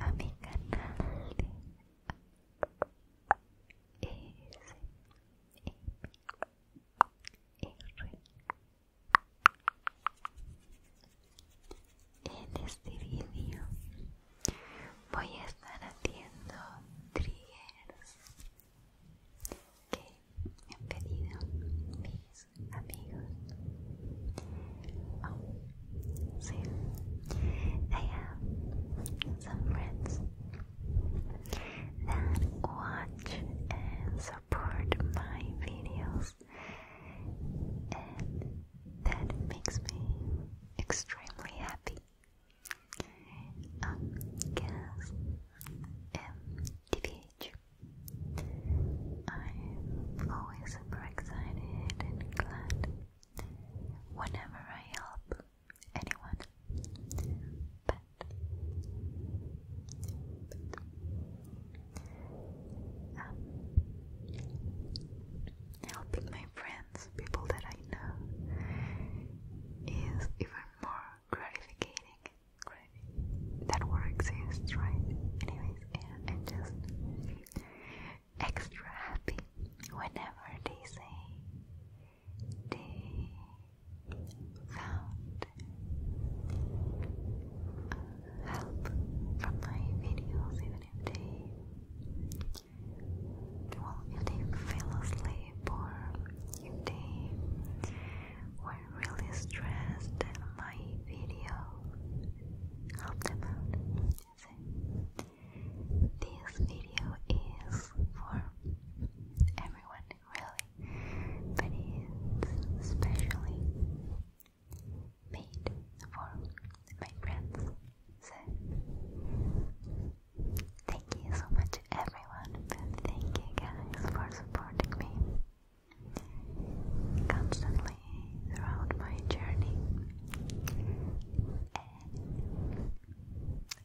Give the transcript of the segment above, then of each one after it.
a mi canal de en este video voy a estar haciendo triggers que me han pedido mis amigos. So I have some friends that watch and support my videos, and that makes me extremely happy. Um, guess MTVH. am always super excited and glad whenever I help anyone. But, um, helping my friends, people that I know, is even more gratifying. That word exists, right? Anyways, and just extra happy whenever they say they found help from my videos, even if they well, if they asleep or they were really stressed, my video helped them out. This video is for everyone, really, but it's especially made for my friends. So, thank you so much, everyone, thank you guys for supporting me constantly slowly my journey,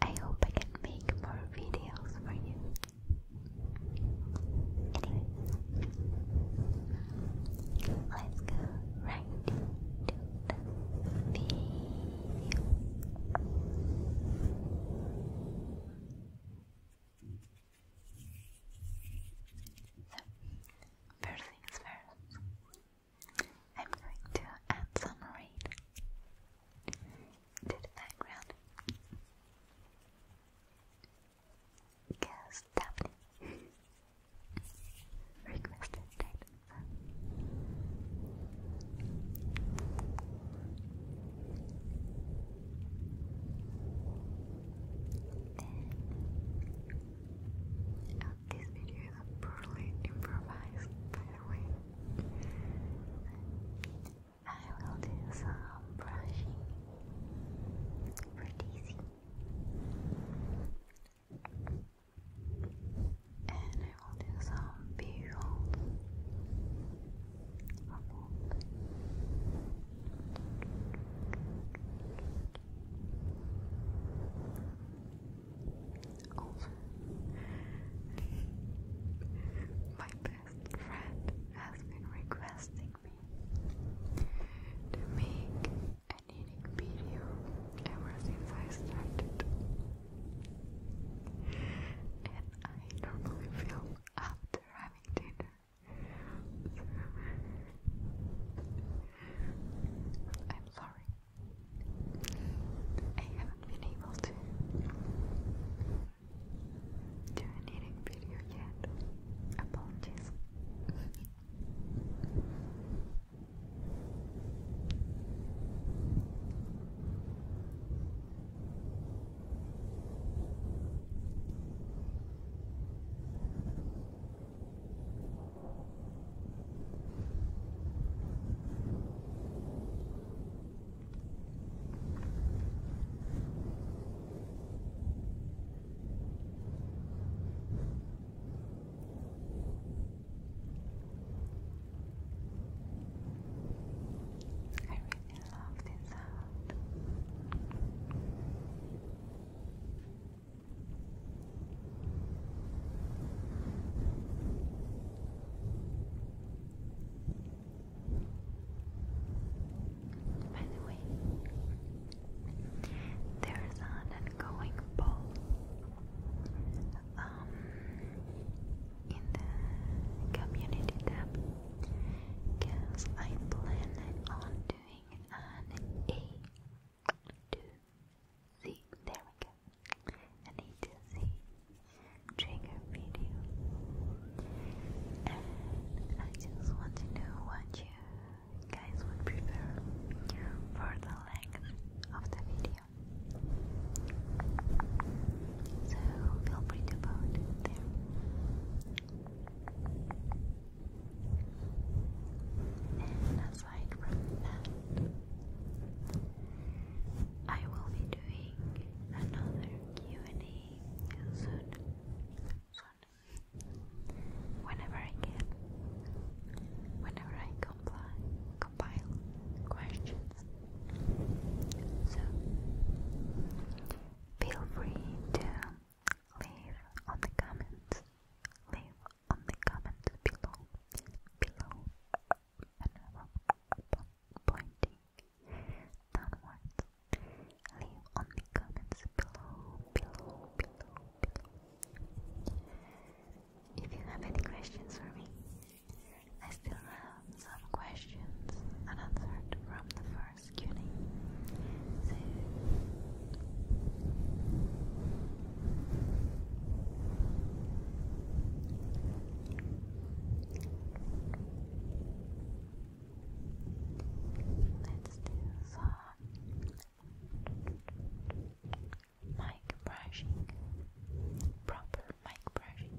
I hope I can make more videos for you. Anyway, let's go right to the video. So, first things first, I'm going to add some rain to the background. Because Daphne requested that. These videos are poorly improvised, by I will do some brushing. Pretty easy. And I will do some visuals for over. My best friend has been requesting me to make an eating video ever I started. And I normally film after having dinner. I'm sorry. I haven't been able to do an eating video yet. Apologies. I really love this sound. By the way, there's an ongoing poll um, in the community tab because I plan on doing an to the there we go. I need to see trigger video, I just want to know what you guys would prefer for the length of the video. So feel free to vote there. And aside from that, I will be doing another Q&A soon. Whenever I can. Whenever I compile questions. So, feel free to leave on the comments, leave on the comments below, below, and pointing downwards. Leave on the comments below, below, below, below. If you have any questions for me, I still have some questions unanswered from the first Q&A. Let's do some mic brushing, proper mic brushing.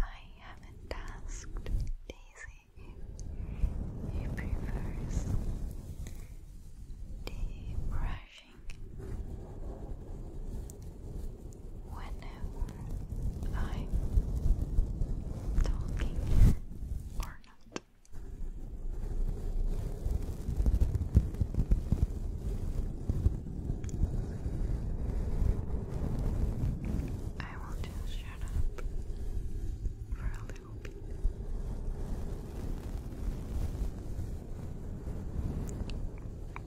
I haven't asked Daisy if he prefers the brushing whenever I'm talking or not. I will just shut up for a little bit.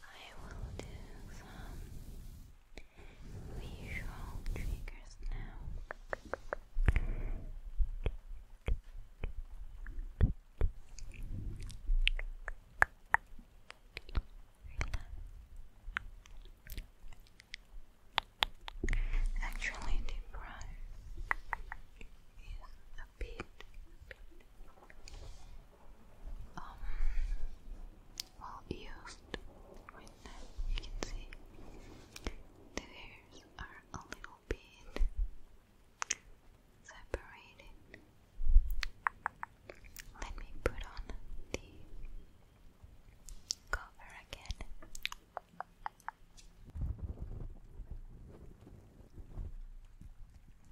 I will do some visual triggers now. Actually, the brush is a bit um, well used right You can see the hairs are a little bit separated. Let me put on the cover again.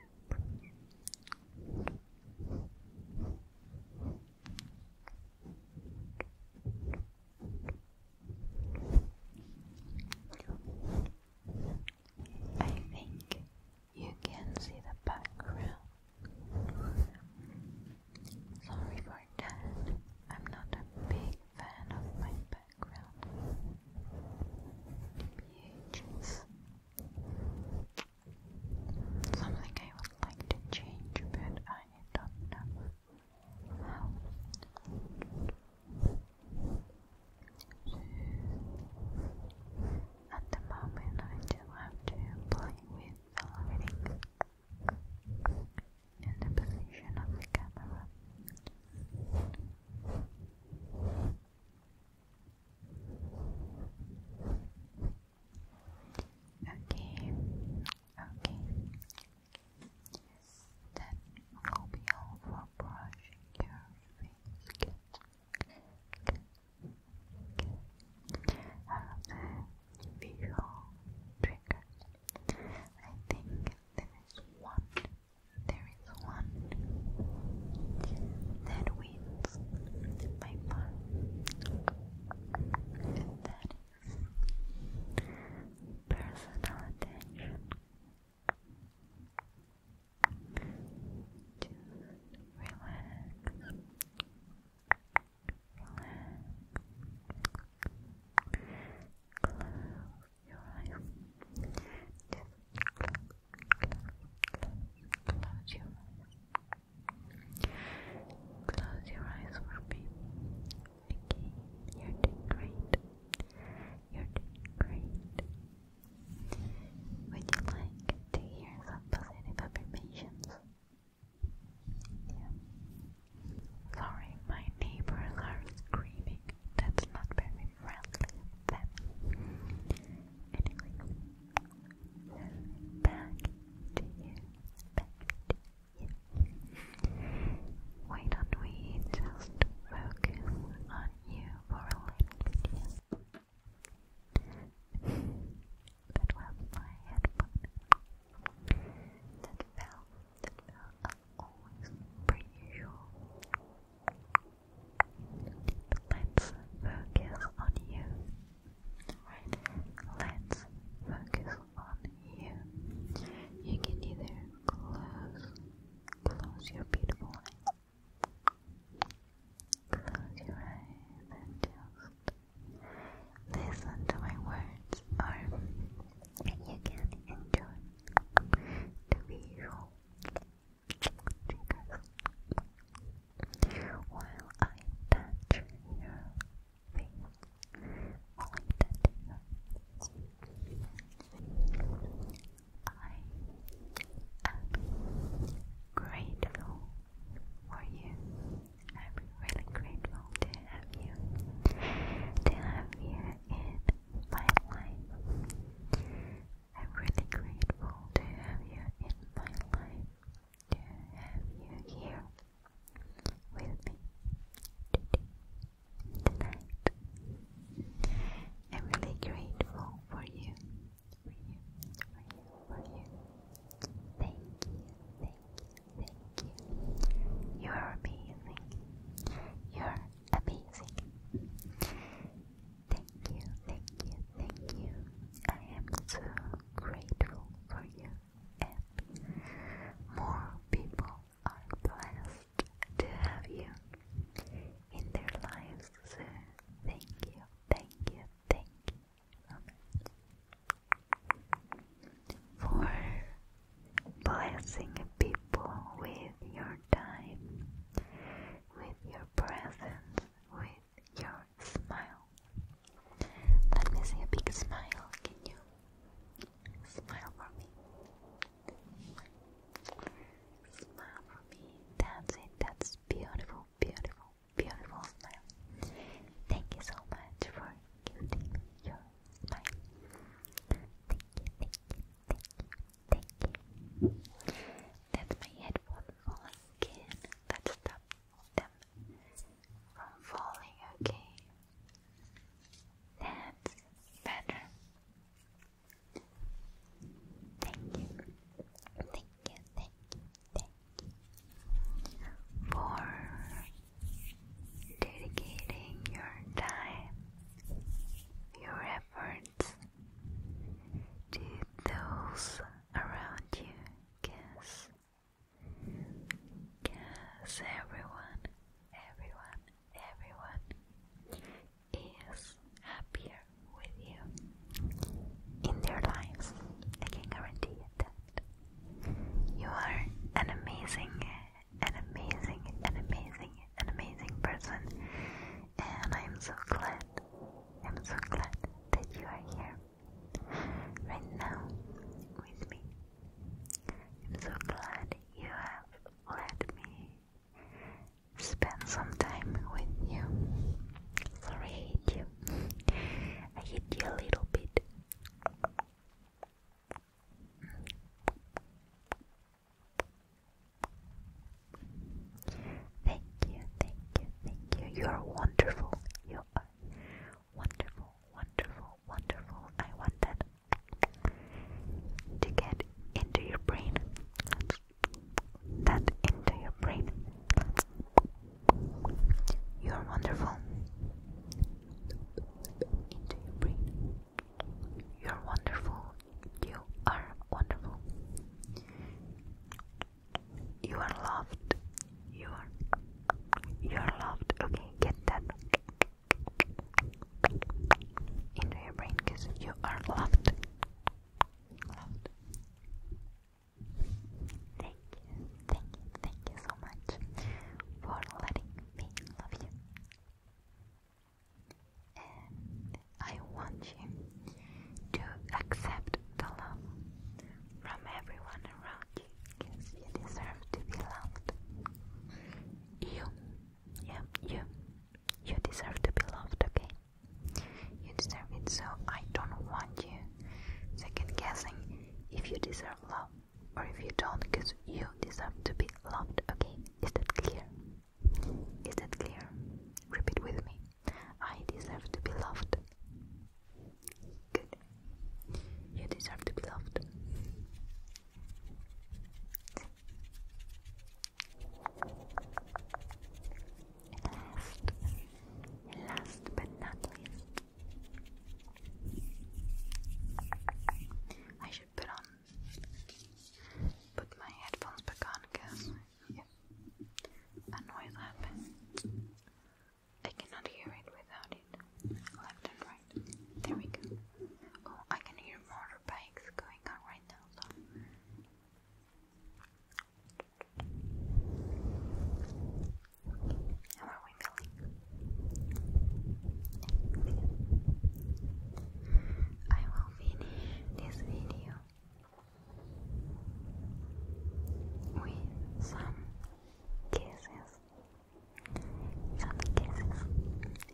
I think you can see the background. Sorry for that. I'm not a big fan of my background. Pages. Something I would like to change, but I don't know how. At the moment, I do have to play with the lighting and the position of the camera. Okay, okay. That will be all brushing your face. Good, visual triggers. I think there is one there is one that wins by far. And that is personal attention. relax. Relax your close your eyes. Close your eyes for me. Okay, you're doing great. You're doing great. Would you like to hear some positive affirmations? Yeah. Sorry, my neighbors are screaming. That's not very relevant. you, Why don't we just focus on you for a little bit? that was my headphone. That fell, that fell as always, pretty Let's focus on you. Right. Let's focus on you. You can either close, close your beautiful eyes. Close your eyes and just listen to my words, or you can enjoy the visual fingers while I touch your face. While I touch your face. I am grateful for you. I'm really grateful to have you, to have you in my life. I'm really grateful to have you in my life, to have you here with me today, tonight. I'm really grateful for you, for you, for you, for you. Thank you, thank you, thank you. You are amazing. You're amazing. Thank you, thank you, thank you. I am so grateful for you, and more people are blessed to have you in their lives. So, thank you, thank you, thank you for blessing people with your time, with your your with your smile. Let me see a big smile, can you? Smile for me. Smile for me. That's it, that's beautiful, beautiful, beautiful smile. Thank you so much for giving me your smile. Thank you, thank you, thank you. That's my headphone falling again. That stopped them from falling, okay? That's better. Thank you. Thank you, thank you, thank you for dedicating your time, your efforts, did those around you guess? Guess everyone, everyone, everyone is happier with you in their lives. I can guarantee you that. You are an amazing, an amazing, an amazing, an amazing person, and I'm so glad, I'm so glad that you are here right now with me. I'm so glad you have let me spend some time with you. Sorry, I hate you. I hate you a little bit. Thank you, thank you, thank you. You are wonderful. You are wonderful, wonderful, wonderful. I want that to get into your brain. That into your brain. You are wonderful. Into your brain. You are wonderful. You are wonderful. You are loved. You are you are loved. Okay, get that into your brain because you are loved. Thank you, thank you, thank you so much for letting me love you. I want you to accept the love from everyone around you because you deserve to be loved. You, yeah, you, you deserve to be loved, okay? You deserve it, so I don't want you second guessing if you deserve love or if you don't because you deserve to be loved, okay? Is that clear? Is that clear? Repeat with me. I deserve to be loved. Good. You deserve to be loved. last, last but not least, I should put on, put my headphones back on because yeah, a noise happened. I cannot hear it without it. Left and right. There we go. Oh, I can hear motorbikes going on right now, How are we feeling? I will finish this video with some kisses. Some kisses.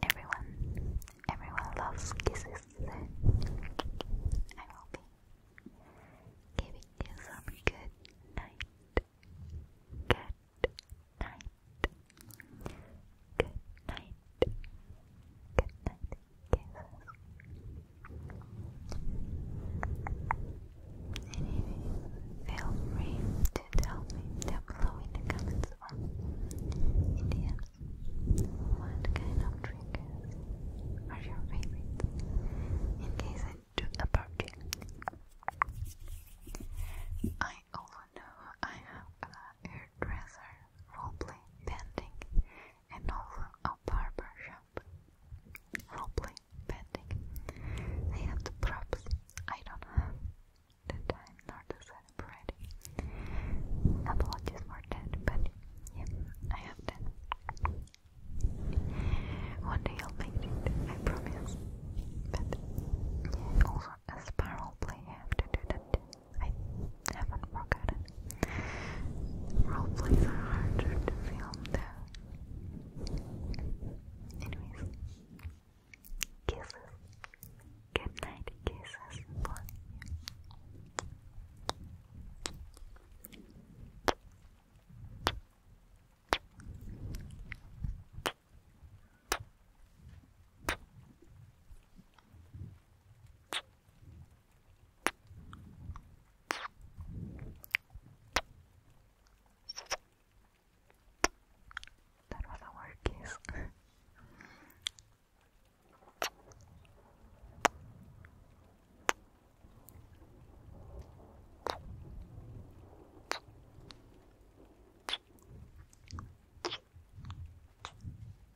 Everyone, everyone loves kisses. I will be giving you some good night. Good night. Good night. Anyway, feel free to tell me down below in the comments or in the apps what kind of triggers are your favorites in case I do a project. I also know I have a hairdresser roleplay pending and also a barbershop roleplay painting. I have the props, I don't have the time nor the setup ready. Apologies for that, but yeah, I have that. One day I'll make it, I promise. But yeah, also as a spiral play, I have to do that. I haven't forgotten. Roleplays are harder to film though. Anyways, kisses. Good night, kisses for you. That was a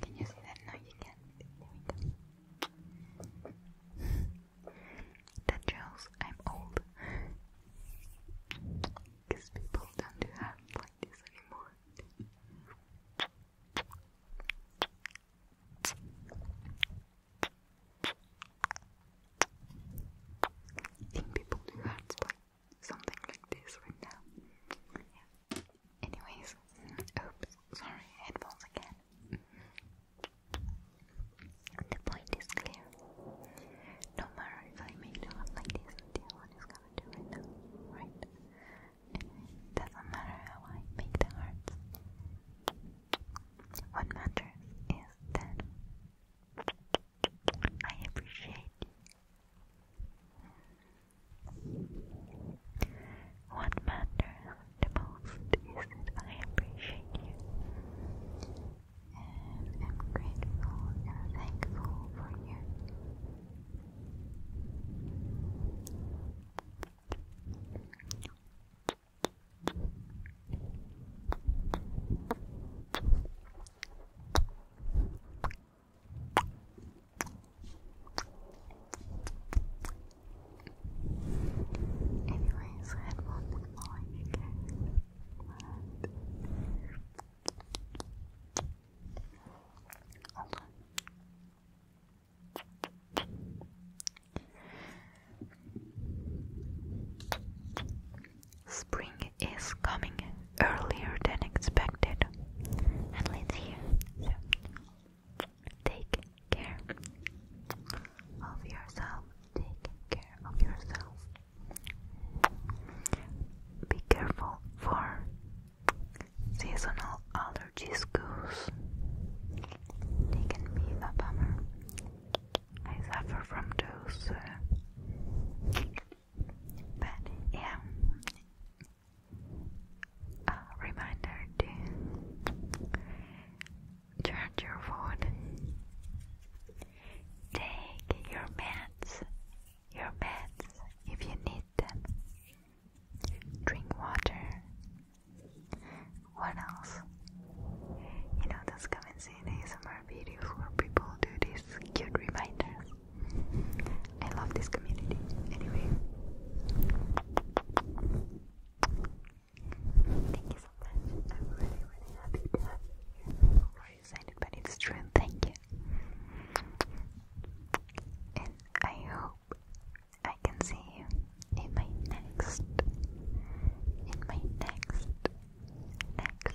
Can you that? No, I'm old. Because people don't do that like this anymore. think people do hearts like something like this right now. Anyways, oops, sorry, headphones again. The point is clear. No matter if I make the like this, the one is gonna do now, right? doesn't matter how I make the hearts. What matters is that I appreciate what matters the most is that I appreciate you and I'm grateful and thankful for you. Anyways, I had also Spring is coming earlier than expected. And let's hear. take care of yourself. Take care of yourself. Be careful for seasonal allergies, goose. They can be a bummer. I suffer from those. Uh, but yeah, reminder charge your phone. Take your meds, your meds if you need them. Drink water. What else? You know, those comments in ASMR videos where people do these cute reminders. I love this community. Anyway, thank you so much. I'm really, really happy to have you here. Already signed it, but it's true. thank you. And I hope I can see you in my next, in my next, next